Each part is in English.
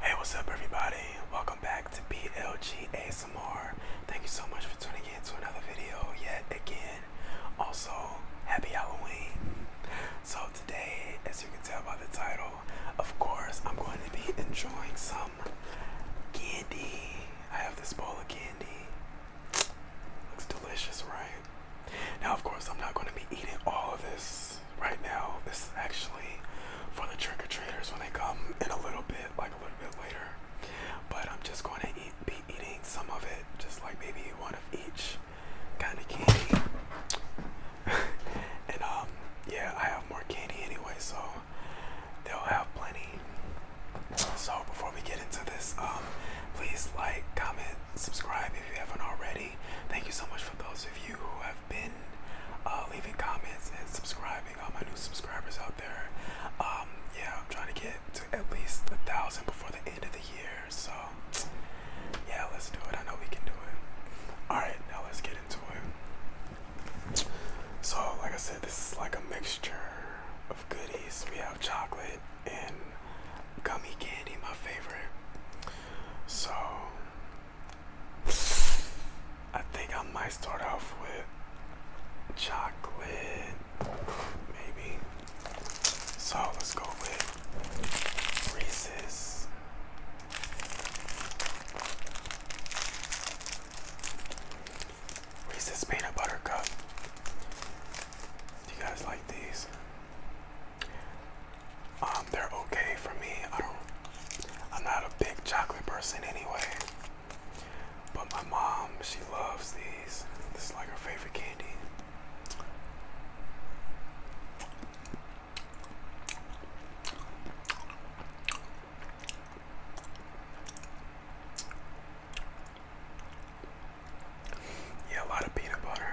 Hey, what's up, everybody? Welcome back to BLG ASMR. Thank you so much for tuning in to another video yet again. Also, happy Halloween. So, today, as you can tell by the title, of course, I'm going to be enjoying some candy. I have this bowl of candy. Looks delicious, right? Now, of course, I'm not going to be eating all of this right now. This is actually for the trick or treaters when they come in a little bit, like a little bit later. But I'm just going to eat, be eating some of it, just like maybe one of each kind of candy. and um, yeah, I have more candy anyway, so they'll have plenty. So before we get into this, um, please like, comment, subscribe if you haven't already. Thank you so much for those of you who have been uh, leaving comments and subscribing, all my new subscribers out there. Um, yeah, I'm trying to get to at least a thousand before the end of the year. So yeah, let's do it. I know we can do it. All right, now let's get into it. So, like I said, this is like a mixture of goodies. We have chocolate and gummy candy, my favorite. So I think I might start off with chocolate, maybe. So let's go with Reese's. Reese's peanut butter cup. Do you guys like these? Um, they're okay for me. I don't. I'm not a big chocolate person anyway. But my mom, she loves these. This is like her favorite candy. Yeah, a lot of peanut butter.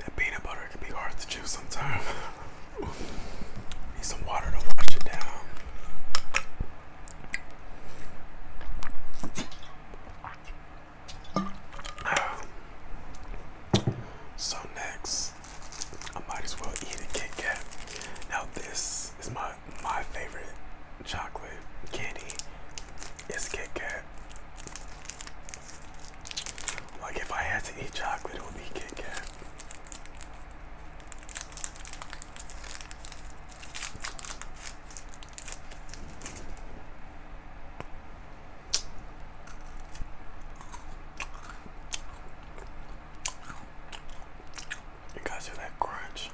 That peanut butter can be hard to chew sometimes. Need some water to wash it down. So next, I might as well eat a Kit Kat. Now this is my my favorite chocolate candy. It's Kit Kat. Like if I had to eat chocolate, it would be Kit Kat. You guys hear that crunch?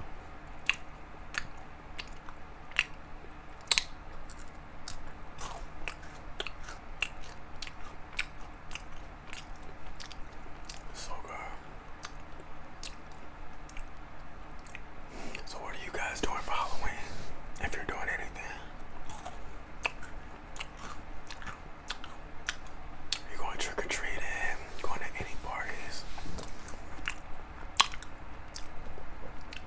So good. So what are you guys doing for Halloween? If you're doing anything. You going trick-or-treating, going to any parties.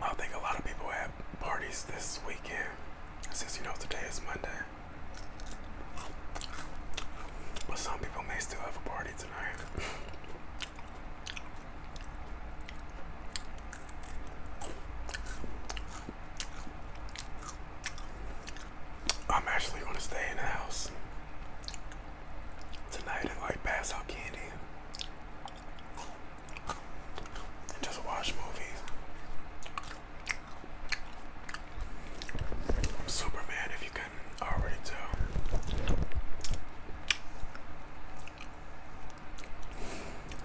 I think a lot of people have parties this weekend since you know today is Monday. But some people may still have a party tonight. I'm actually gonna stay in the house tonight and like pass out candy just watch movies. Superman, if you can already tell.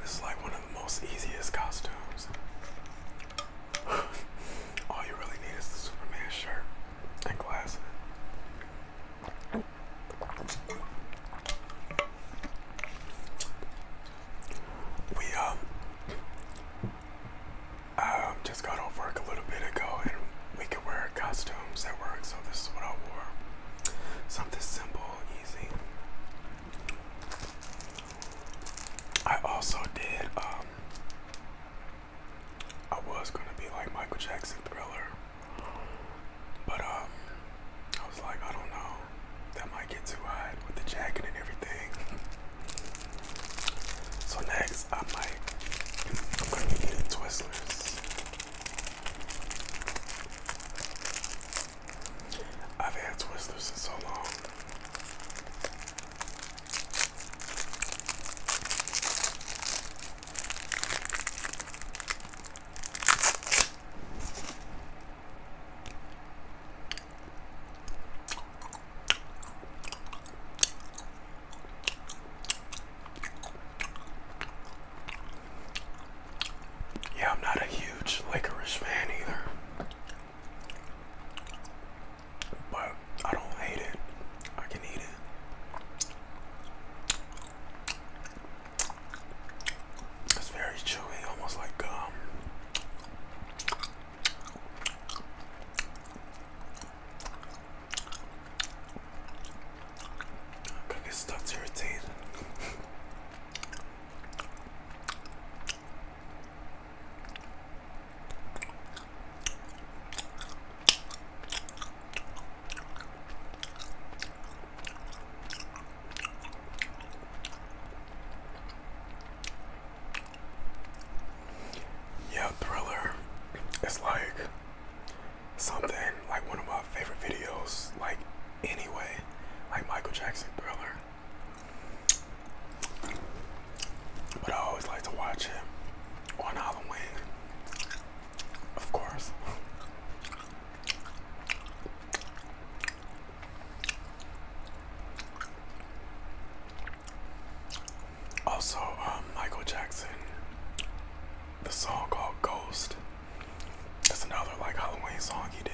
This is like one of the most easiest costumes. All you really need is the Superman shirt and glasses. We um um just got off a little bit ago and we could wear costumes at work, so this is what I wore. Something simple, easy. I also did um I was gonna be like Michael Jackson Thriller, but um I was like I don't know that might get too hot with the jacket and everything. So next, I might, be getting Twizzlers. I've had Twizzlers in so long. Yeah, I'm not a huge licorice fan either. But I don't hate it. I can eat it. It's very chewy, almost like gum. I'm gonna stuck to your teeth. Yeah, Thriller is like something like one of my favorite videos, like anyway, like Michael Jackson Thriller. But I always like to watch it on Halloween, of course. Also, um, Michael Jackson, the song called Ghost. That's another like Halloween song he did.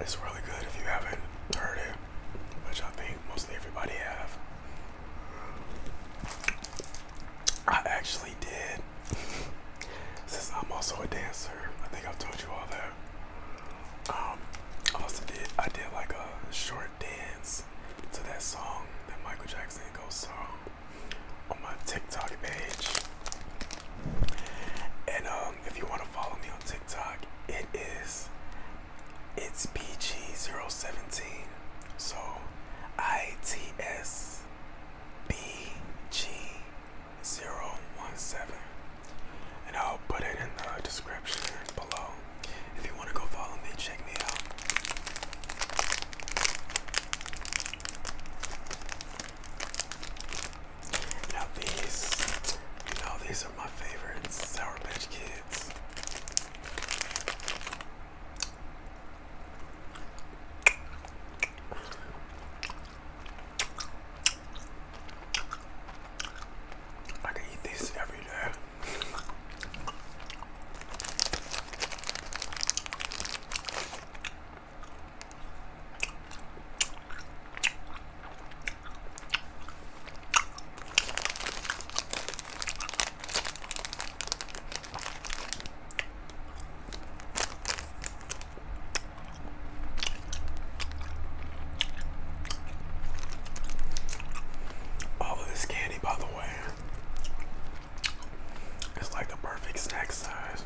It's really good if you haven't heard it, which I think mostly everybody have. I actually did since I'm also a dancer, I think I've told you all that. Um, I also did I did like a short dance to that song, that Michael Jackson goes song, on my TikTok page. And um, if you want to follow me on TikTok, it is it's BG017. So it's bg. 017. And I'll put it in the description below. If you want to go follow me, check me out. Now these, you these are my favorites, Sour Patch Kids. I can eat this every day. All of this candy, by the way, is like the perfect snack size.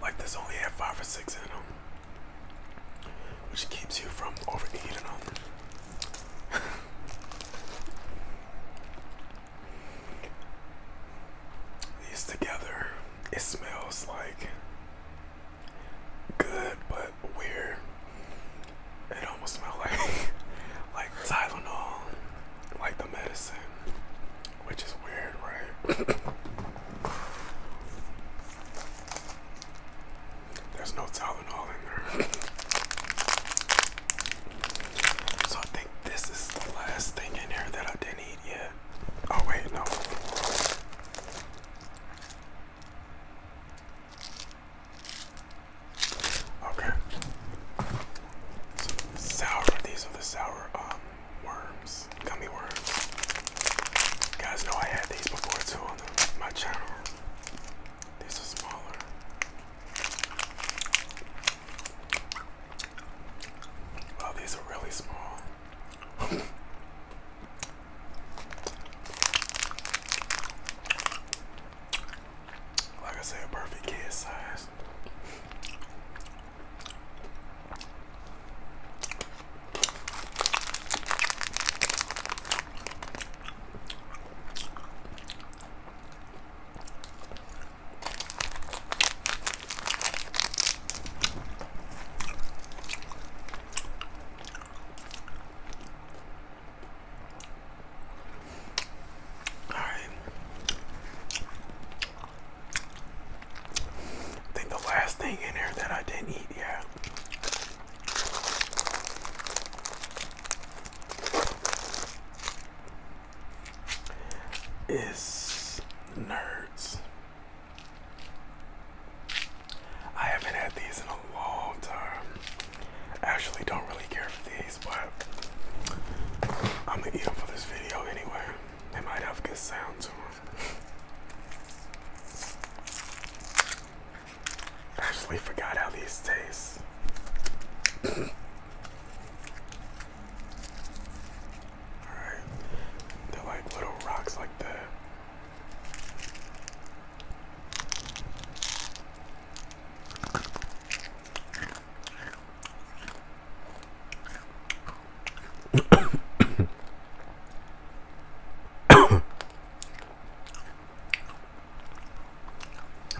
Like this only had five or six in them, which keeps you from overeating them. these together. It smells like good but weird. It almost smells like like Tylenol, like the medicine, which is weird, right? There's no Tylenol in there. So I think this is the last thing in here that I didn't eat yet. Oh wait, no. Okay. sour. These are the sour um, worms, gummy worms. guys know I had these before too on my channel. These are smaller. Wow, oh, these are really small. like I said, perfect kid size. All right. I think the last thing in here that I didn't eat yet is nerds. I haven't had these in a long time. Actually, don't really care for these, but I'm gonna eat them for this video anyway. They might have good sound to them. Actually, forgot how these taste. Alright. They're like little rocks like that.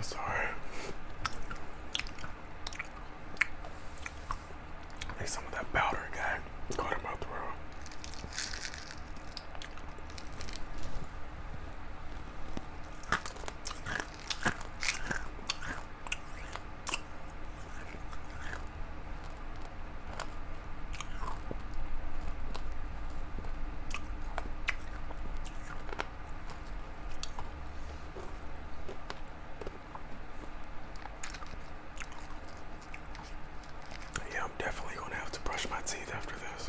Sorry. There's some of that powder guy caught in my throat. Yeah, I'm definitely gonna have to brush my teeth after this.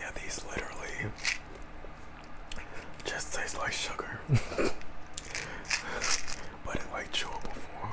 Yeah, these literally just taste like sugar, but in like chewable form.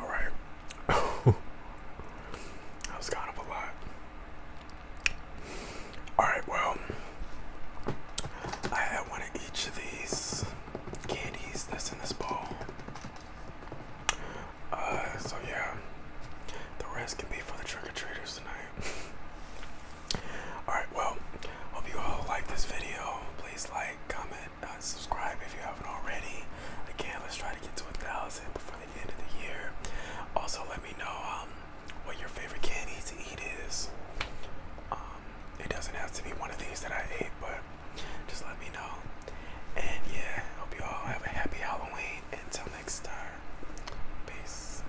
All right. I was kind of a lot. All right, well, I had one of each of these candies that's in this bowl. Uh, so yeah, the rest can be for the trick or treaters tonight. Alright, well, hope you all like this video. Please like, comment, uh, subscribe if you haven't already. Again, let's try to get to a thousand before the end of the year. Also, let me know um, what your favorite candy to eat is. Um, it doesn't have to be one of these that I ate, but just let me know. And yeah, hope you all have a happy Halloween. Until next time, peace.